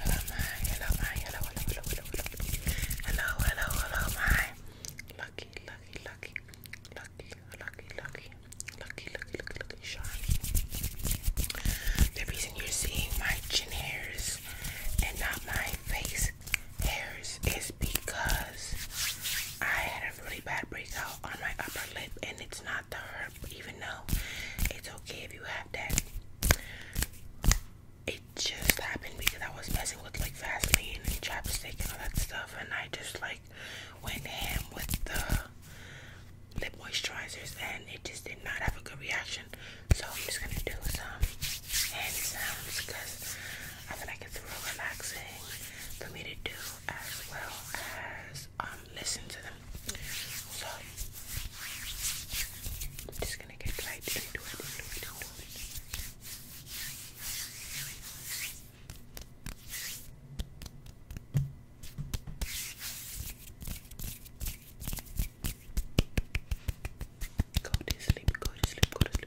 Hello, my, hello, my, hello, hello, hello, hello, hello, hello, my lucky, lucky, lucky, lucky, lucky, lucky, lucky, lucky, lucky, lucky The reason you're seeing my chin hairs and not my face hairs is because I really bad breakout on my upper lip, and it's not the herb, even though it's okay if you have that. It just happened because I was messing with like Vaseline and chapstick and all that stuff, and I just like went ham with the lip moisturizers, and it just did not have a good reaction. So I'm just gonna do some hand sounds because I feel like it's real relaxing for me to do as well as um listen to them. So I'm just gonna get right Go to sleep, go to sleep, go to sleep.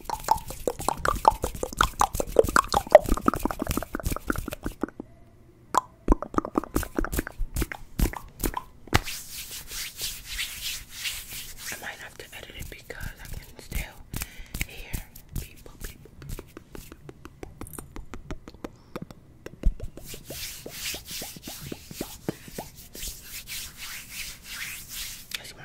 I might have to edit it because I can still hear people, people, people, people. I see my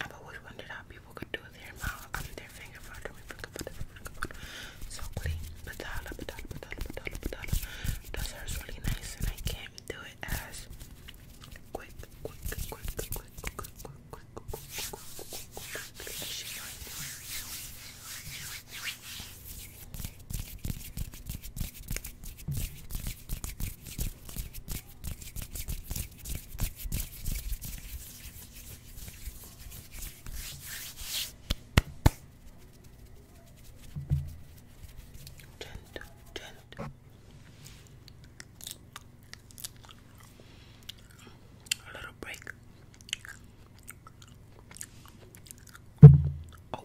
I've always wondered how people could do their mouth, I their finger, their finger, Sokoli, Patala, Patala, Patala, Patala, Patala. Does hers really nice and I can't do it as quick, quick, quick, quick, quick, quick, quick, quick, quick, quick, quick, as she does. Gentle, gentle. A little break. Oh.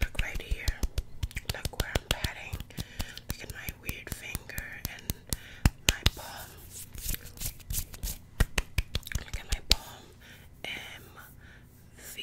Look right here. Look where I'm patting. Look at my weird finger and my palm. Look at my palm. M V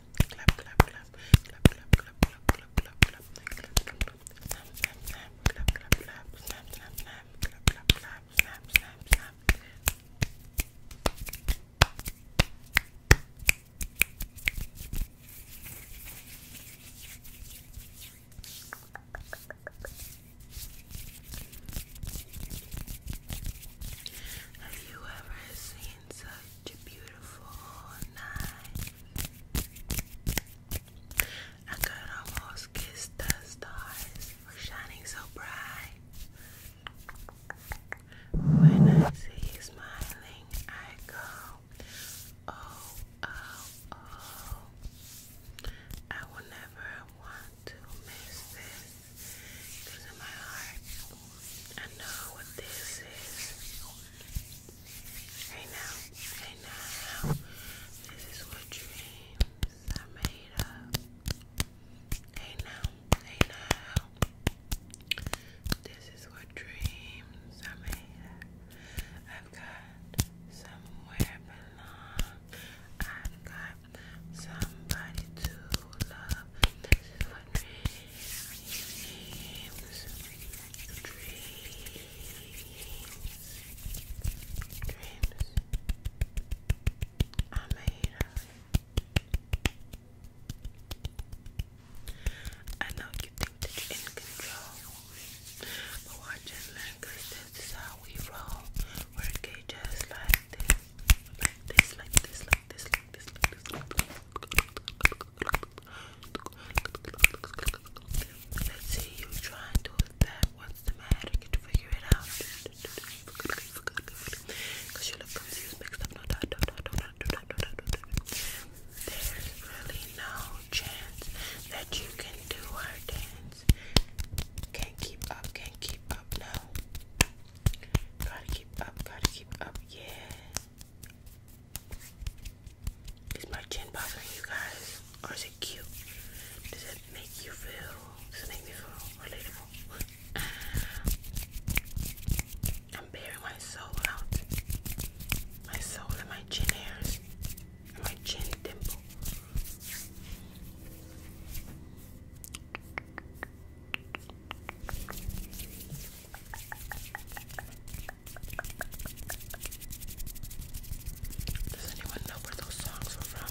clap, Have you ever seen such such a beautiful night. I could almost kiss the stars for shining so bright. When I see you smiling, I go, oh, oh, oh. I will never want to miss this. Because in my heart, I know what this is. Right now, right now, this is what dreams are made of. Right now, right now, this is what dreams are made of. I've got somewhere belong. I've got somebody to love. This is what dreams, dreams, dreams are made of. I know you think that you're in control, but watch and learn, this is how we roll. Work it just like this see you try and do it What's the matter? Can you figure it out? Because you look confused, mixed up. no. There's really no chance that you can do our dance. Can't keep up, can't keep up, no. Gotta keep up, gotta keep up, yeah. Is my chin bothering you guys? Or is it cute? Does it make you feel, does it make me feel relatable? I'm bearing my soul out. My soul and my chin hairs. And my chin dimple. Does anyone know where those songs were from?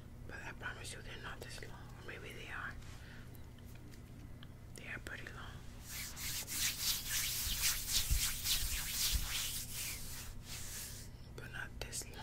But I promise you they're not this long. maybe they are. They are pretty long. But not this long.